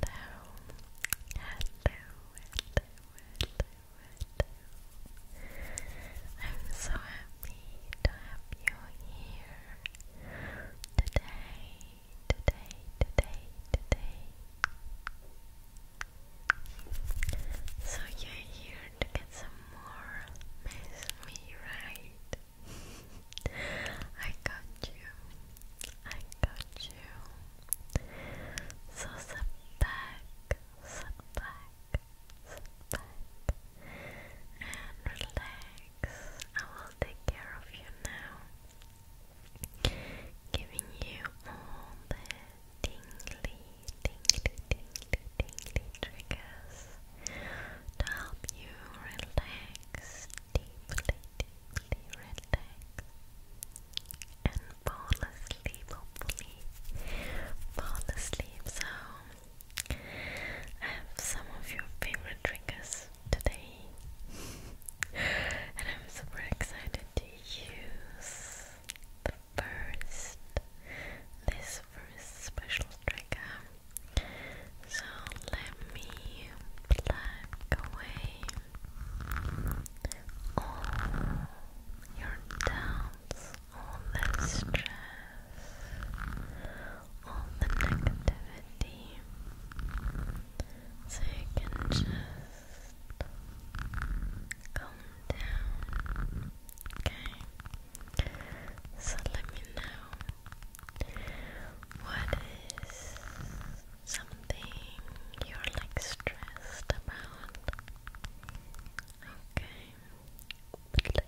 hello. I'm so happy to have you here today, today, today, today. So you're here to get some more me, right? I got you. I got you. So sit back, sit back, sit back, and relax. I will take care of you now, giving you all the Ding, ding, ding, ding, ding, ding, triggers to help you relax, deeply, deeply relax, and fall asleep, hopefully, fall asleep. So, I have some of your favorite triggers today, and I'm super excited to use the first this first special trigger. So let me black away all your doubts, all the stress, all the negativity. So you can just calm down. Okay. So let me know what is something you're like stressed about. Okay.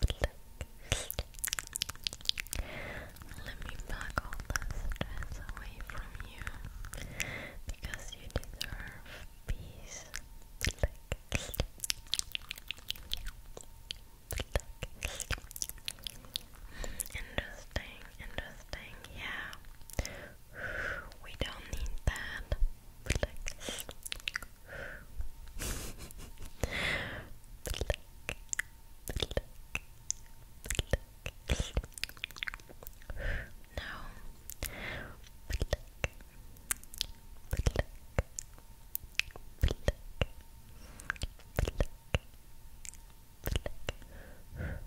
Let me back all that stress away from you because you deserve peace. Interesting, interesting, yeah. We don't need that. Relax.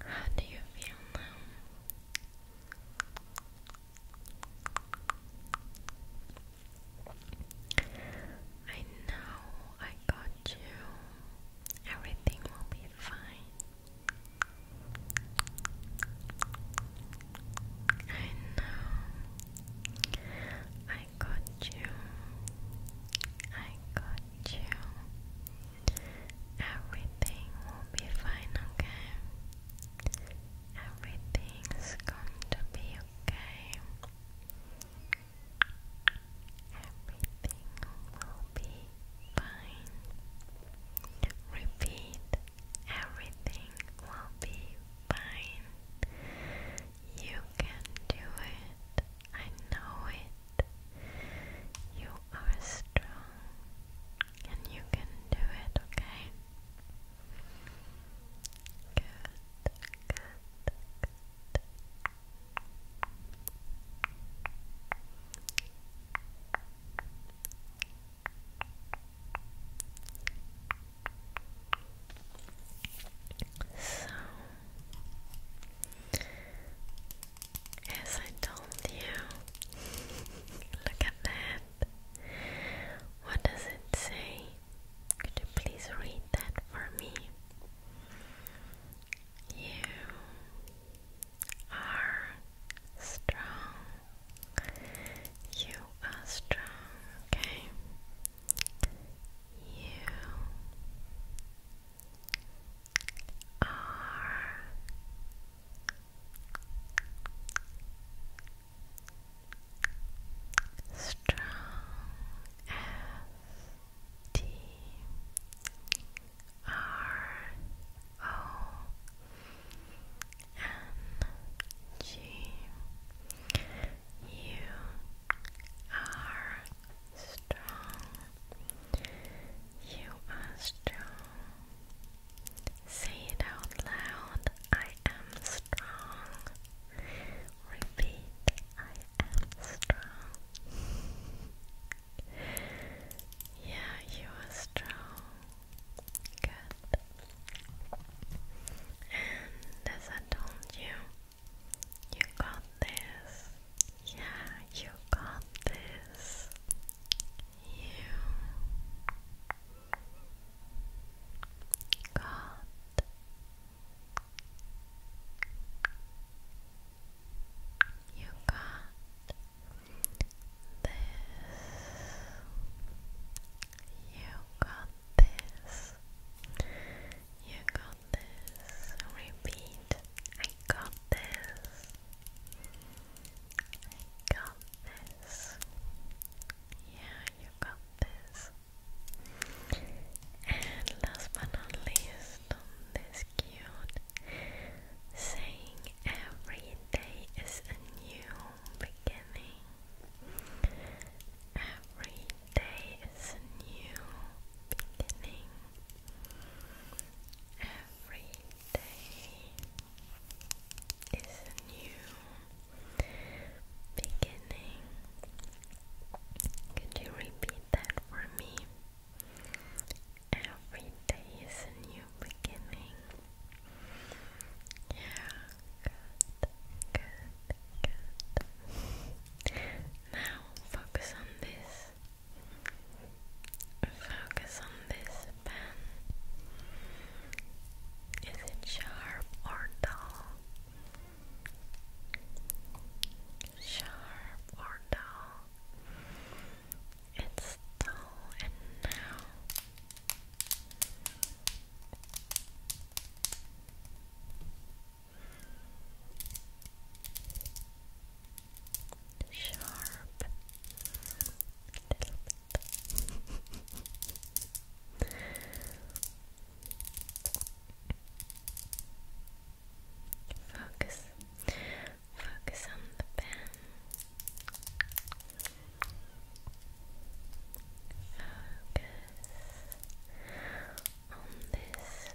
How do you feel now? I know I got you. Everything will be fine. I know I got you. I got you. Everything will be fine, okay? Everything's going to be okay. Everything will be fine. Repeat, everything will be fine. You can do it. I know it. You are strong and you can do it, okay? Good, good, good. So as I told you, look at that. What does it say? Could you please read that for me? You are strong. You are strong, okay? You R strong S T R O N G U R strong. You are strong. Say it out loud. I am strong. Repeat. I am strong. yeah, you are strong. Good. And as I told you, you got this. Yeah, you got this. You got you got this. You got this. You got Repeat. I got this. I got this. Yeah, you got this. And last but not least, on this cute saying every day is a new beginning. Every Today is a new beginning. Every day is a new beginning. Could you repeat that for me? Every day is a new beginning. Yeah, good. Now focus on this. Focus on this pen. Is it sharp or dull? Sharp or dull? It's dull, and now sharp little Focus, focus on the pen. Focus on this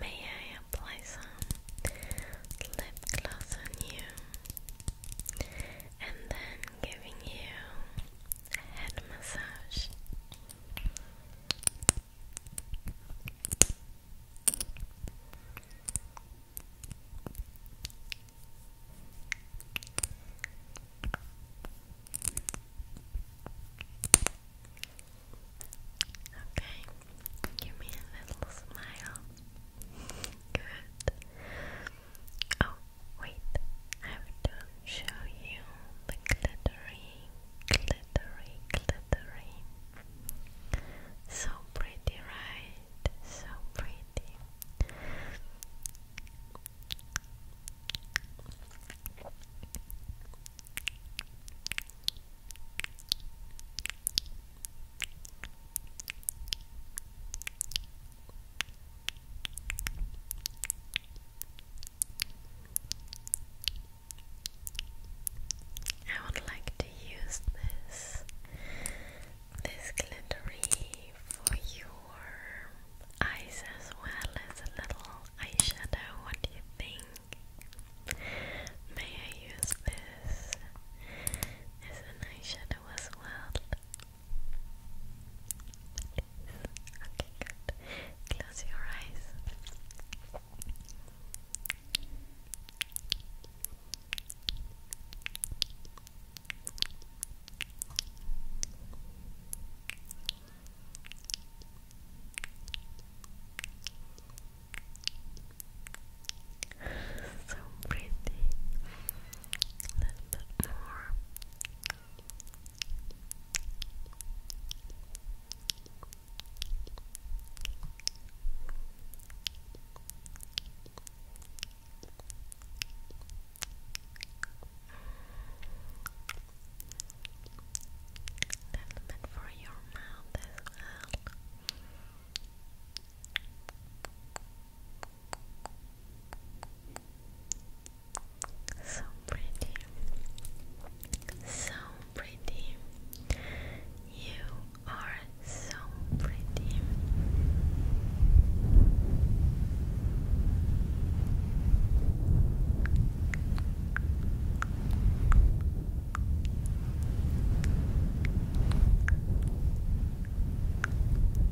May I apply some lip gloss on you and then giving you head massage. Okay, give me a little smile. Good. Oh, wait, I don't show you the glittery, glittery, glittery. So pretty, right? So pretty. I would like to use this this glittery for your eyes as well as a little eyeshadow. What do you think? May I use this as an eyeshadow as well? Okay, good. Close your eyes. so pretty. A little bit more little bit for your mouth as well. Good. So pretty. So pretty. You are so pretty.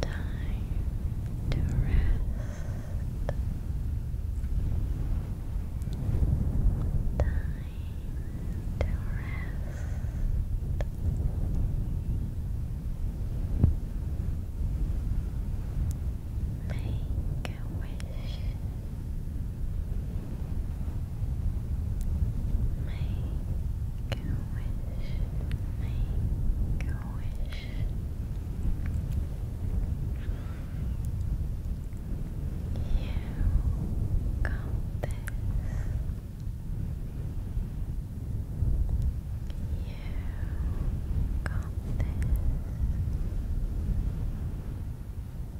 Time to rest. Time to rest. Make a wish. Make a wish. Make a wish. You got this. You got this. You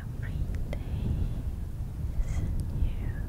Every day is new beginning.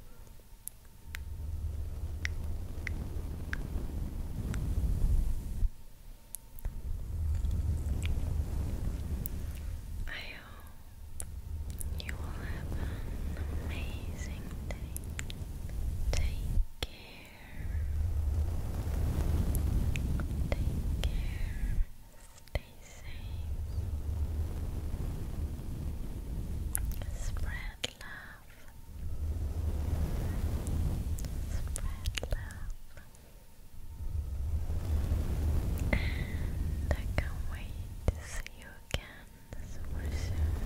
I you will have an amazing day. Take care. Take care. Stay safe. Spread love. Spread love. I can't wait to see you again super soon.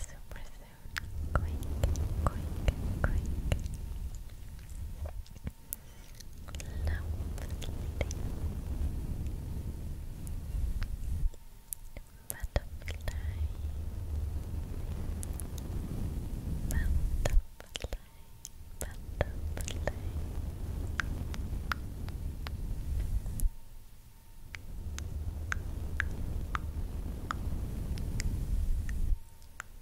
Super soon. Quick, quick, quick. Butterfly, butterfly, butterfly, butterfly,